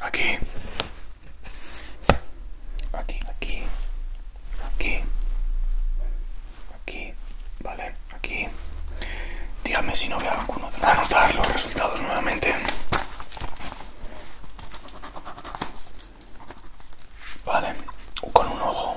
Aquí, aquí, aquí, aquí, aquí, vale, aquí. Dígame si no veo alguno. Anotar los resultados nuevamente. Vale, con un ojo.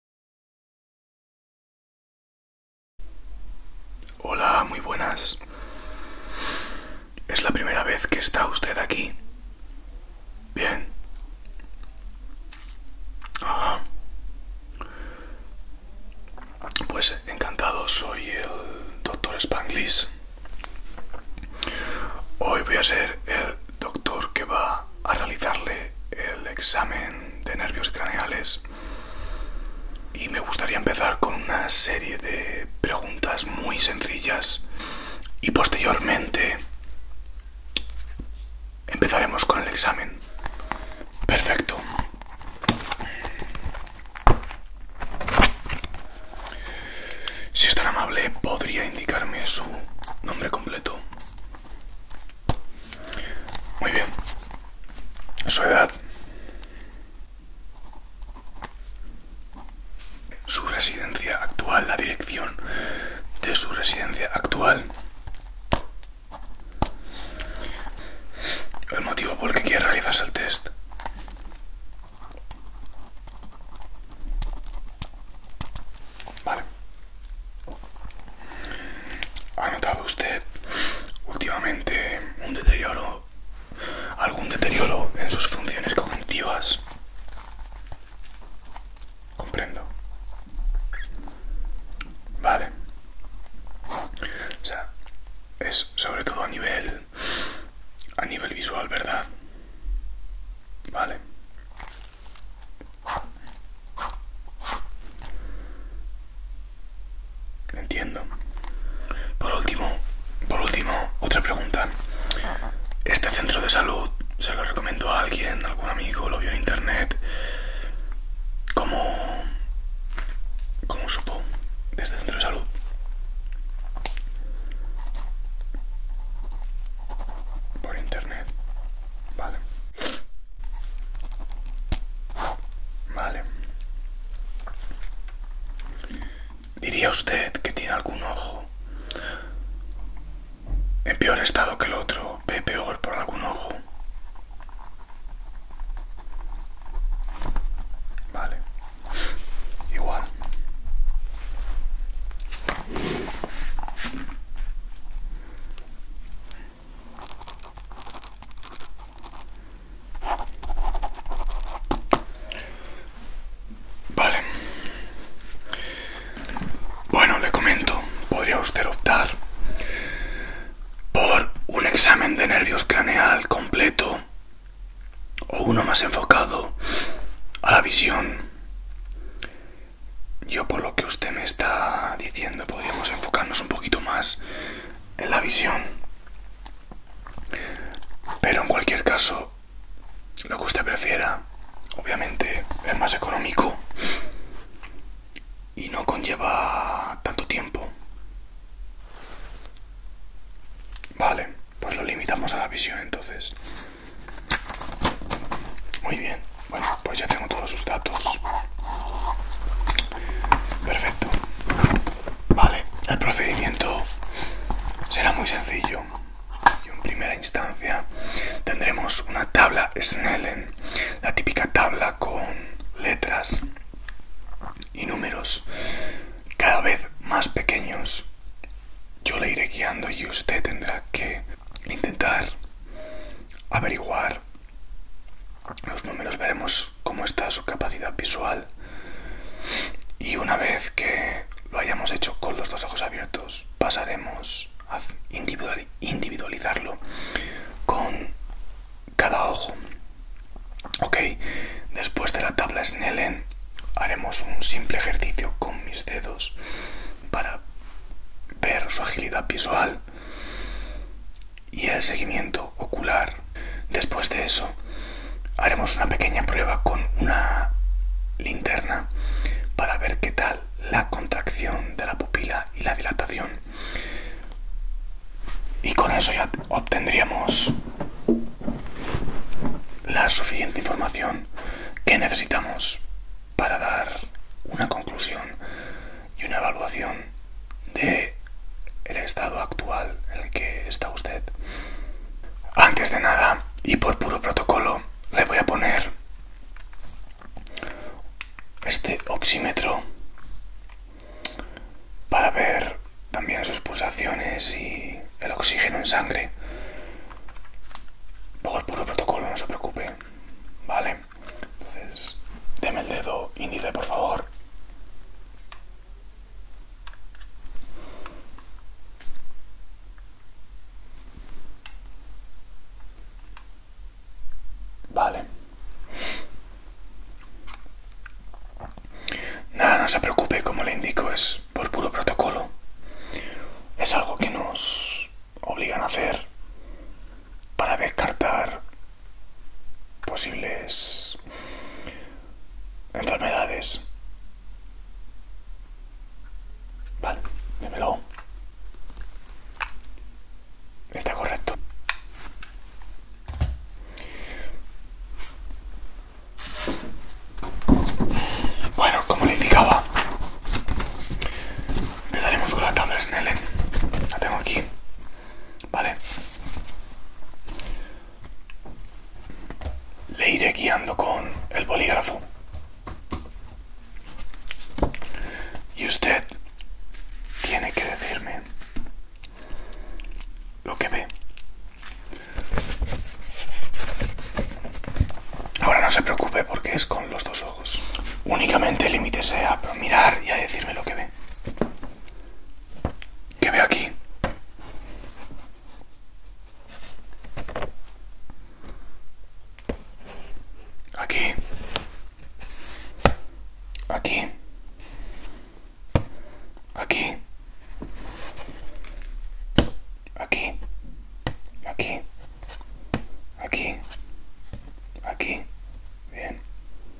Hola, muy buenas. ¿Es la primera vez que está usted aquí? Bien. Pues encantado, soy el doctor Spanglis, Hoy voy a ser el doctor que va a realizarle el examen de nervios craneales y me gustaría empezar con una serie de preguntas muy sencillas. Y posteriormente empezaremos con el examen. Perfecto. Si es tan amable, podría indicarme su nombre completo. Muy bien. Su edad. Su residencia actual, la dirección de su residencia actual. El motivo por el que quiere realizarse el test. Vale. ¿Ha notado usted últimamente un deterioro, algún deterioro en sus funciones cognitivas? Comprendo. Vale. O sea, es sobre todo a nivel a nivel visual, ¿verdad? Vale. Entiendo. Por último, por último, otra pregunta. Este centro de salud se lo recomendó a alguien, algún amigo, lo vio en internet. ¿Cómo, cómo supo de este centro de salud? Por internet. Vale. Vale. ¿Diría usted que tiene algún ojo en peor estado que el otro? ¿Ve peor por algún ojo? Vale. Igual. Vale. Bueno, le comento, podría usted optar por un examen de nervios craneal completo o uno más enfocado a la visión. Yo por lo que usted me está diciendo podríamos enfocarnos un poquito más en la visión. Pero en cualquier caso, lo que usted prefiera, obviamente es más económico y no conlleva tanto tiempo. Vale, pues lo limitamos a la visión entonces. Muy bien, bueno, pues ya tengo todos sus datos. Perfecto. Vale, el procedimiento será muy sencillo. Y en primera instancia tendremos una tabla Snellen, ¿eh? la típica tabla con letras y números cada vez más pequeños. Yo le iré guiando y usted tendrá que intentar averiguar los números, veremos cómo está su capacidad visual y una vez que lo hayamos hecho con los dos ojos abiertos, pasaremos a individualizarlo con cada ojo. Ok, después de la tabla Snellen haremos un simple ejercicio con mis dedos para ver su agilidad visual y el seguimiento ocular. Después de eso, haremos una pequeña prueba con una linterna para ver qué tal la contracción de la pupila y la dilatación. Y con eso ya obtendríamos la suficiente información que necesitamos para dar una conclusión y una evaluación de el estado actual en el que está usted. Antes de nada, y por puro protocolo, le voy a poner este oxímetro para ver también sus pulsaciones y el oxígeno en sangre. Por puro protocolo, no se preocupe. Vale. Entonces, deme el dedo índice, por favor. Vale. Nada, no se preocupe, como le indico, es por puro protocolo. Es algo que nos obligan a hacer para descartar posibles enfermedades. Vale, démelo. Está correcto. Bueno, como le indicaba, le daremos una tabla Snellen. La tengo aquí. Vale. Le iré guiando con el bolígrafo. Y usted tiene que decirme lo que ve. Ahora no se preocupe porque es con los dos ojos. Únicamente limítese a mirar y a decirme lo que ve. ¿Qué veo aquí? Aquí. Aquí. Aquí. Aquí. Aquí. Aquí. Aquí. Bien.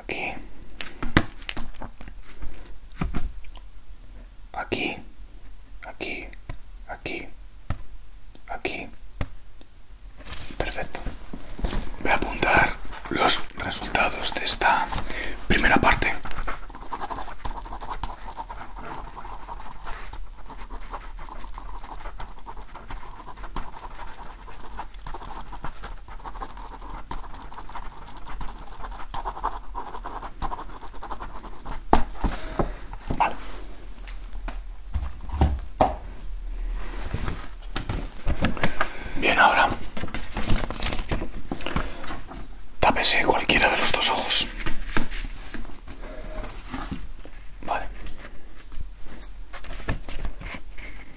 aquí aquí aquí aquí perfecto voy a apuntar los resultados de esta primera parte Vale. Bien, ahora tápese cualquiera de los dos ojos. Vale.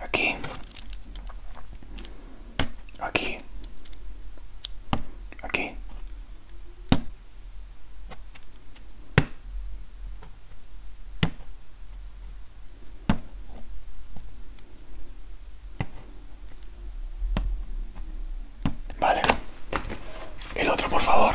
aquí, aquí, aquí. Vale. El otro, por favor.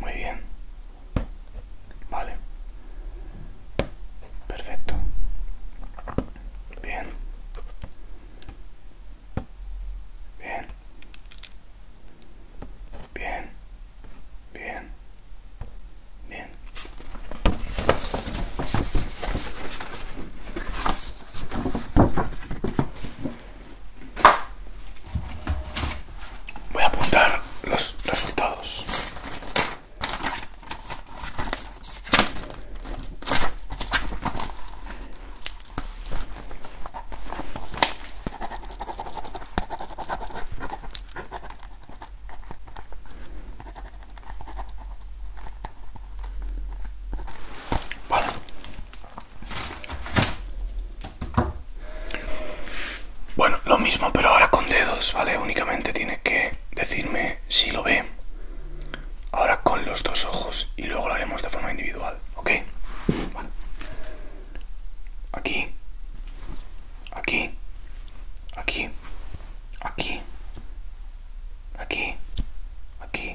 Muy bien. Vale. Perfecto. Bien. Bien. Bien. Bien. Bien. Voy a apuntar los resultados. Vale. Bueno, lo mismo, pero ahora con dedos, ¿vale? Únicamente tiene que decirme si lo ve. Ahora con los dos ojos y luego lo haremos de forma individual, ¿ok? Aquí, aquí, aquí, aquí, aquí, aquí,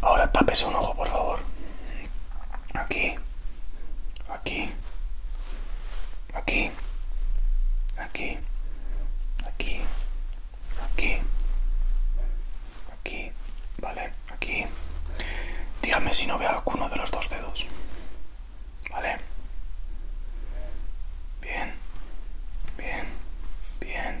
Ahora tápese un ojo, por favor. Aquí. Aquí. Aquí. Aquí. Aquí. Aquí. Aquí. Vale, aquí. Dígame si no veo alguno de los dos dedos. Vale. Bien. Bien. Bien.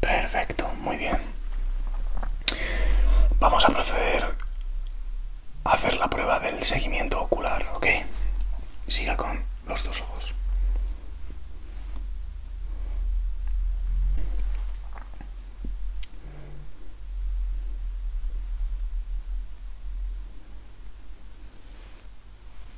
Perfecto, muy bien. Vamos a proceder a hacer la prueba del seguimiento ocular, ¿ok? Siga con los dos ojos.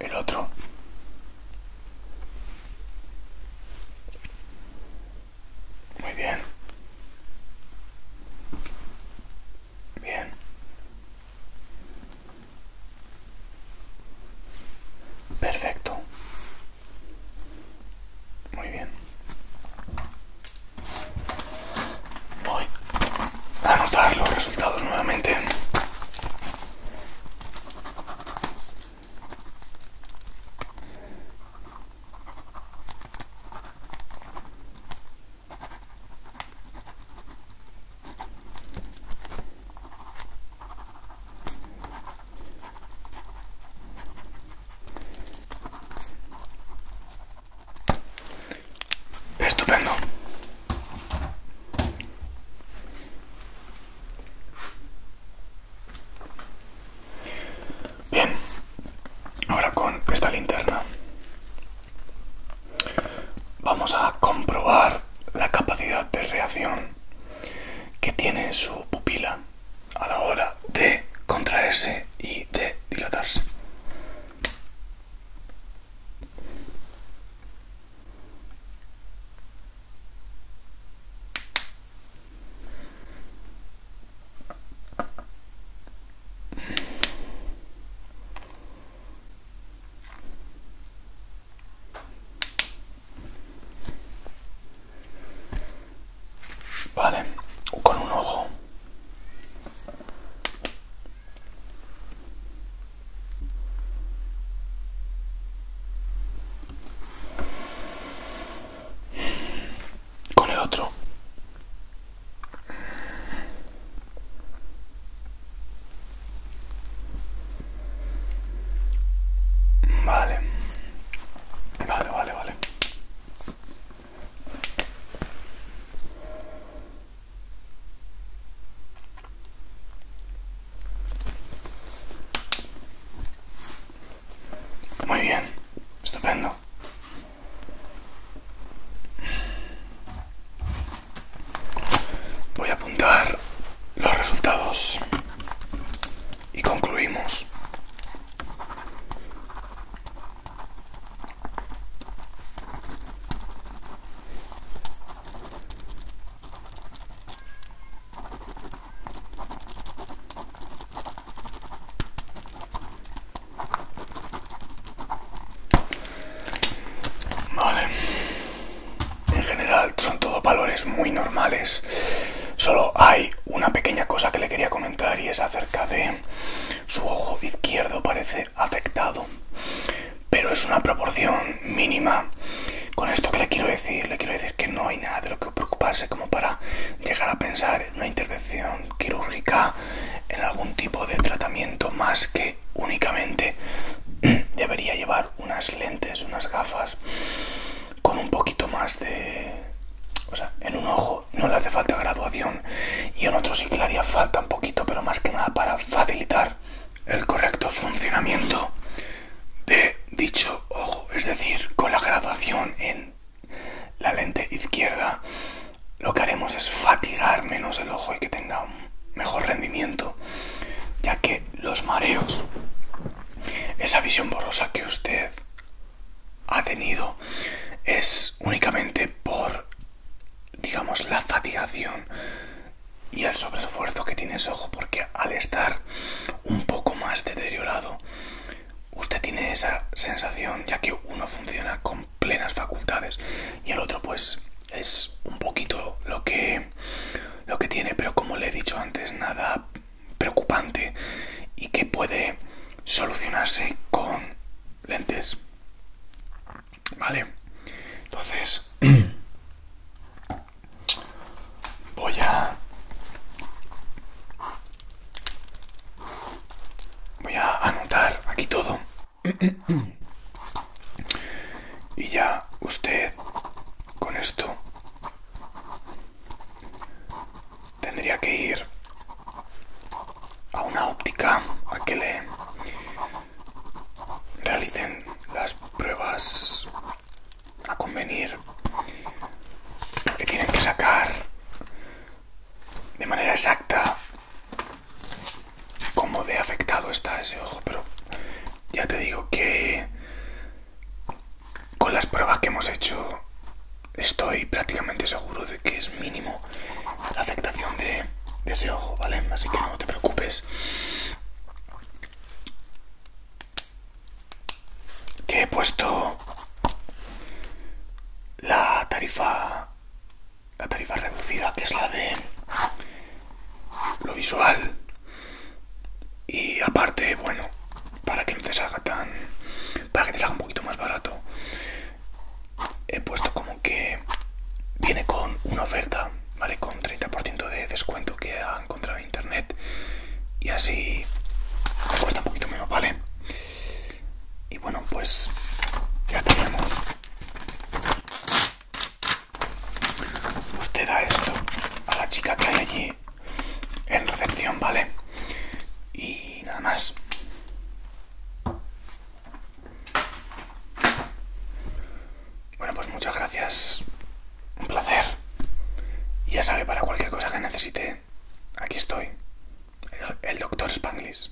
el otro. Muy bien. Bien. Perfecto. Muy bien. Voy a anotar los resultados nuevamente. Estupendo. Bien, ahora con esta linterna vamos a comprobar la capacidad de reacción que tiene su pupila a la hora de contraerse y de dilatarse. Vale, con un ojo con el otro vale vale vale vale muy bien, estupendo. Voy a apuntar los resultados y concluimos. Vale. En general son todos valores muy normales. Solo hay una pequeña cosa que le quería comentar y es acerca de su ojo izquierdo. Parece afectado. Pero es una proporción mínima. Con esto que le quiero decir, le quiero decir que no hay nada de lo que preocuparse como para llegar a pensar en una intervención quirúrgica, en algún tipo de tratamiento más que únicamente debería llevar unas lentes, unas gafas con un poquito más de... O sea, en un ojo no le hace falta graduación y en otros sí que haría falta un poquito, pero más que nada para facilitar el correcto funcionamiento de dicho ojo, es decir, con la graduación en la lente izquierda lo que haremos es fatigar menos el ojo y que tenga un mejor rendimiento, ya que los mareos, esa visión borrosa que usted ha tenido, es únicamente por digamos, la fatigación y el sobreesfuerzo que tiene ese ojo, porque al estar un poco más deteriorado, usted tiene esa sensación, ya que uno funciona con plenas facultades y el otro, pues, es un poquito lo que, lo que tiene, pero como le he dicho antes, nada preocupante y que puede solucionarse con lentes. Vale, entonces voy a... Voy a anotar aquí todo. y ya usted con esto tendría que ir a una óptica a que le realicen las pruebas a convenir que tienen que sacar de manera exacta cómo de afectado está ese ojo pero ya te digo que con las pruebas que hemos hecho estoy prácticamente seguro de que es mínimo la afectación de, ese ojo, ¿vale? Así que no te preocupes. Que he puesto la tarifa la tarifa reducida que es la de lo visual y aparte bueno para que no te salga tan para que te salga un poquito más barato he puesto como que viene con una oferta, ¿vale? Con 30% de descuento que ha encontrado internet y así me cuesta un poquito menos, ¿vale? Y bueno, pues ya tenemos. Usted da esto a la chica que hay allí en recepción, ¿vale? Y nada más. Bueno, pues muchas gracias. Un placer. Y ya sabe, para cualquier cosa que necesite, aquí estoy. El, Dr. doctor Spanglish.